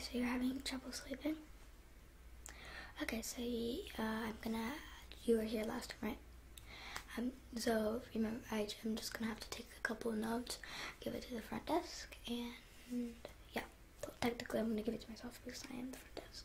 So you're having trouble sleeping? Okay, so you, uh, I'm gonna. You were here last time, right? Um, so remember, I, I'm just gonna have to take a couple of notes, give it to the front desk, and yeah. So technically, I'm gonna give it to myself because I am the front desk.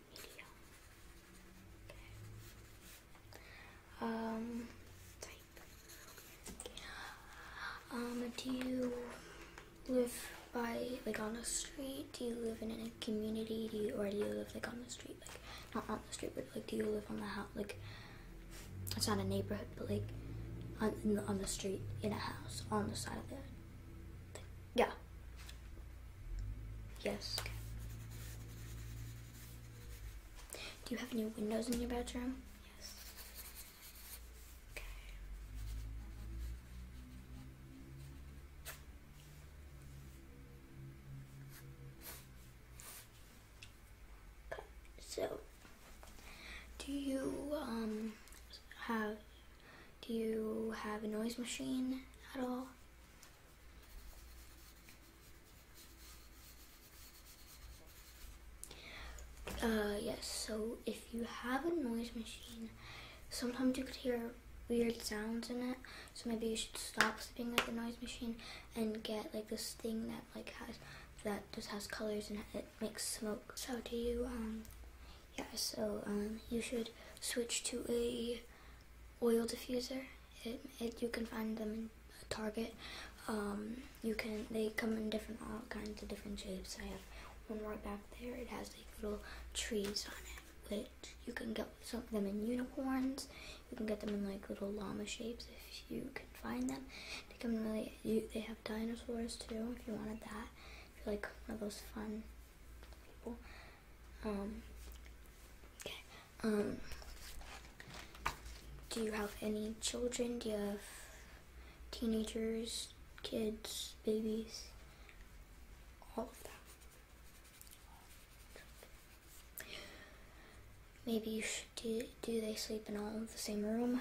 Um, type. Um, do you live by like on the street? Do you live in a community? Do you or do you live like on the street? Like not on the street, but like do you live on the house? Like it's not a neighborhood, but like on the street in a house on the side of the thing. yeah. Yes. Do you have any windows in your bedroom? Yes. okay. So, do you um have do you have a noise machine at all? Uh, yes, so if you have a noise machine, sometimes you could hear weird sounds in it. So maybe you should stop sleeping with the noise machine and get like this thing that like has that just has colors and it makes smoke. So do you um yeah, so um you should switch to a oil diffuser. It, it you can find them in Target. Um, you can they come in different all kinds of different shapes. I have one right back there. It has like little trees on it, which you can get some of them in unicorns. You can get them in like little llama shapes if you can find them. They come really. they have dinosaurs too if you wanted that. If you're like one of those fun people. Um, okay. Um, do you have any children? Do you have teenagers, kids, babies? All of that. Maybe you should do, do they sleep in all the same room?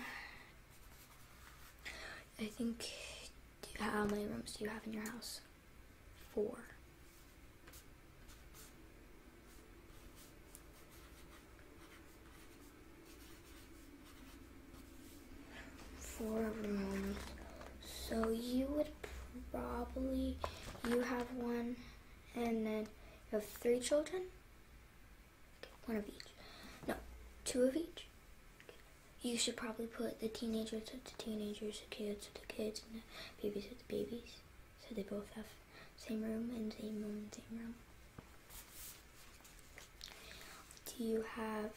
I think, how many rooms do you have in your house? four. Four of So you would probably, you have one, and then you have three children? One of each. No, two of each. You should probably put the teenagers with the teenagers, the kids with the kids, and the babies with the babies. So they both have same room and same room and same room. Do you have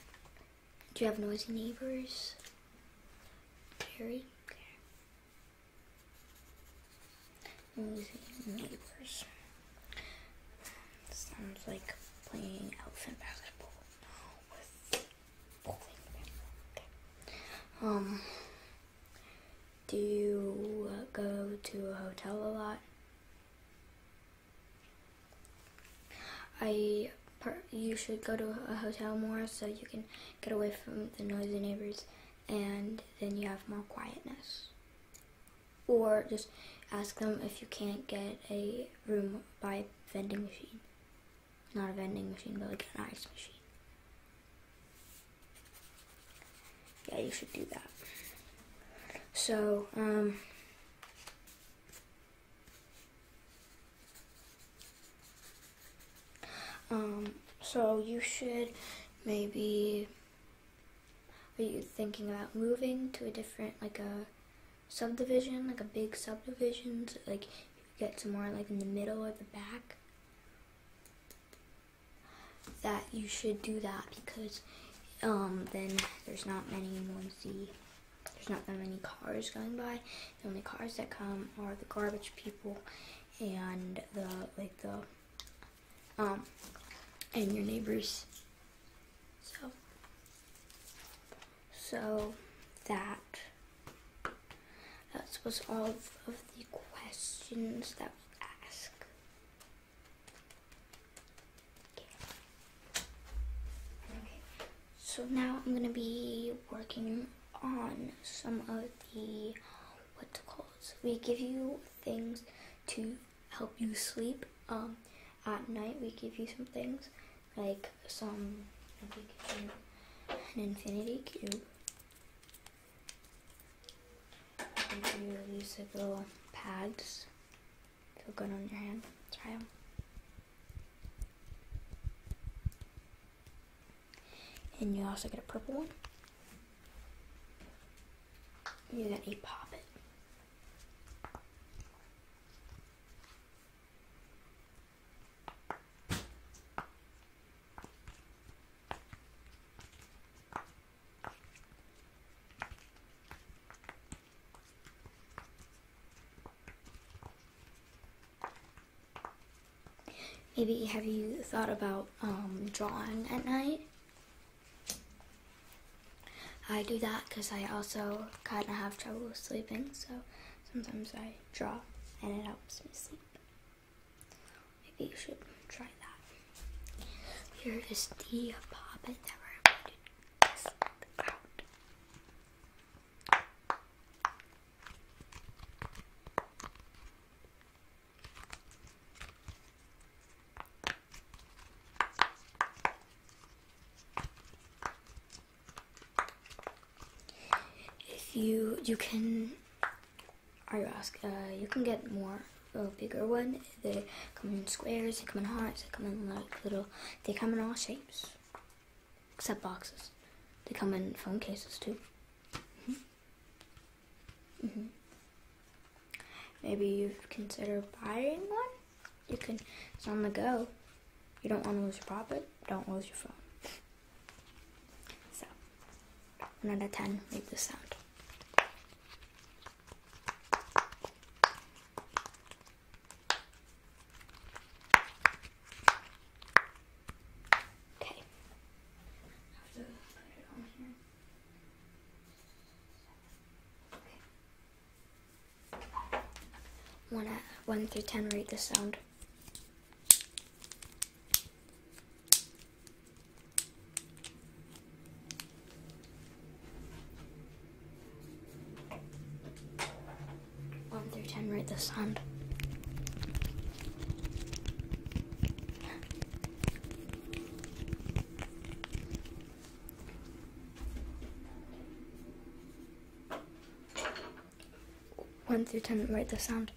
do you have noisy neighbors? Carrie? Okay. Noisy neighbors. Sounds like playing elephant basketball um, do you go to a hotel a lot? I you should go to a hotel more so you can get away from the noisy neighbors and then you have more quietness. Or just ask them if you can't get a room by vending machine. Not a vending machine, but like an ice machine. Yeah, you should do that. So, um, um so you should maybe. Are you thinking about moving to a different, like a subdivision, like a big subdivisions so like get somewhere like in the middle or the back, that you should do that because um, then there's not many noisy, there's not that many cars going by. The only cars that come are the garbage people and the like the um and your neighbors. So, so that that was all of, the questions that we ask. So now I'm gonna be working on some of the what's called. So we give you things to help you sleep. Um, at night we give you some things like some an infinity cube. you use like little pads. Feel good on your hand. Try them. And you also get a purple one. You get a pop it. Maybe have you thought about um, drawing at night? I do that because I also kind of have trouble sleeping, so sometimes I draw and it helps me sleep. Maybe you should try that. Here is the poppet that we're going to if you you can, are ask? Uh, you can get more a bigger one. They come in squares. They come in hearts. They come in like little. They come in all shapes, except boxes. They come in phone cases too. Mm-hmm. Mm-hmm. Maybe you have considered buying one. You can, it's on the go. You don't want to lose your profit, don't lose your phone. So, 1 10, make this sound. Okay want uh, one through ten rate the sound. One through ten rate the sound. One through ten, write the sound.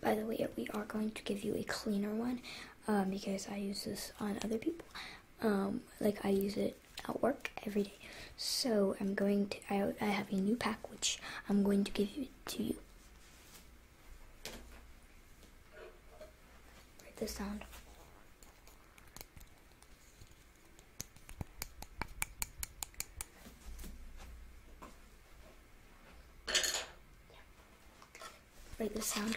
By the way, we are going to give you a cleaner one um, because I use this on other people. Um, like I use it at work every day. So I'm going to, I, I have a new pack which I'm going to give to you. Write this down. Write the sound.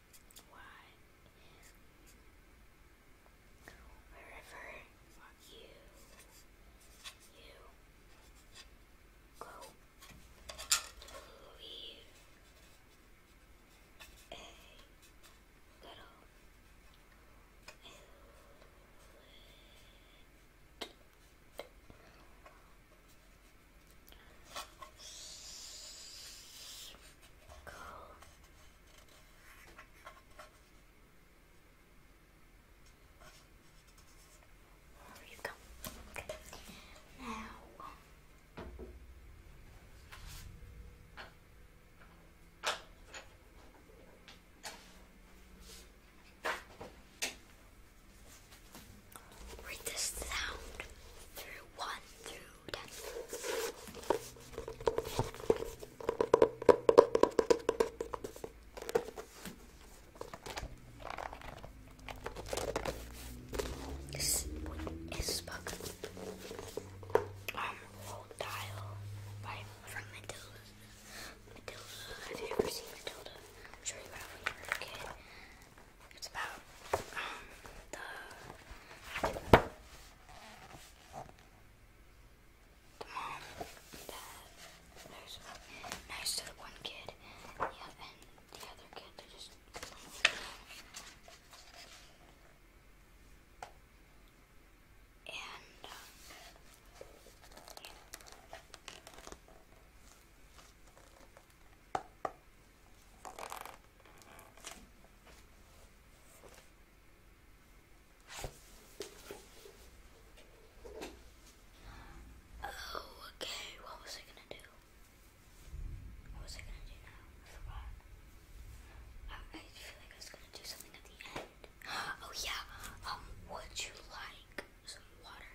What is wherever you you go leave a little Cool. There you go. Okay. Now read this sound through one through this is book um old dial by from Matilda, have you ever seen Matilda? I'm sure you have when you were a kid. It's about um, the, mom that knows, knows one kid the, other, kid that just. And. Um, Oh, okay. What was I gonna do? What was I gonna do now? I feel like I was gonna do something at the end. Oh yeah. Um, would you like some water?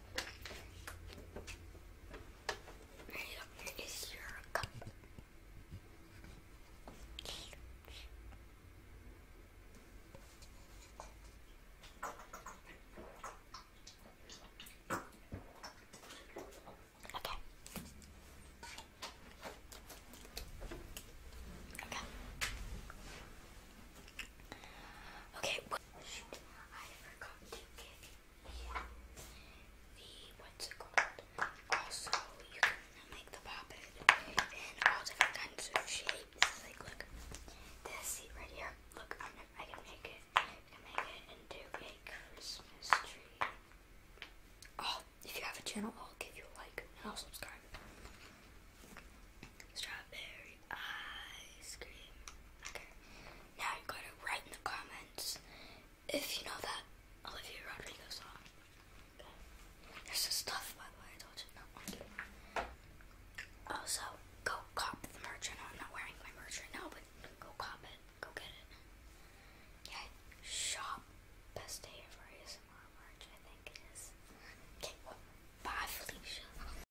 Here is your cup. Okay. Okay. Okay. Also, you can make the poppet in all different kinds of shapes. Like, look, this right here. Look, i can make it. I can make it into a Christmas tree. Oh, if you have a channel, I'll give you a like and I'll subscribe. Strawberry ice cream. Okay. Now you gotta write in the comments if you know that Olivia Rodrigo song. Okay. There's this stuff by the way I told you not want to. Also, go cop the merch. I know I'm not wearing my merch right now, but go cop it. Go get it. Yeah, shop best day ever is merch, I think it is. Okay, well, bye Felicia.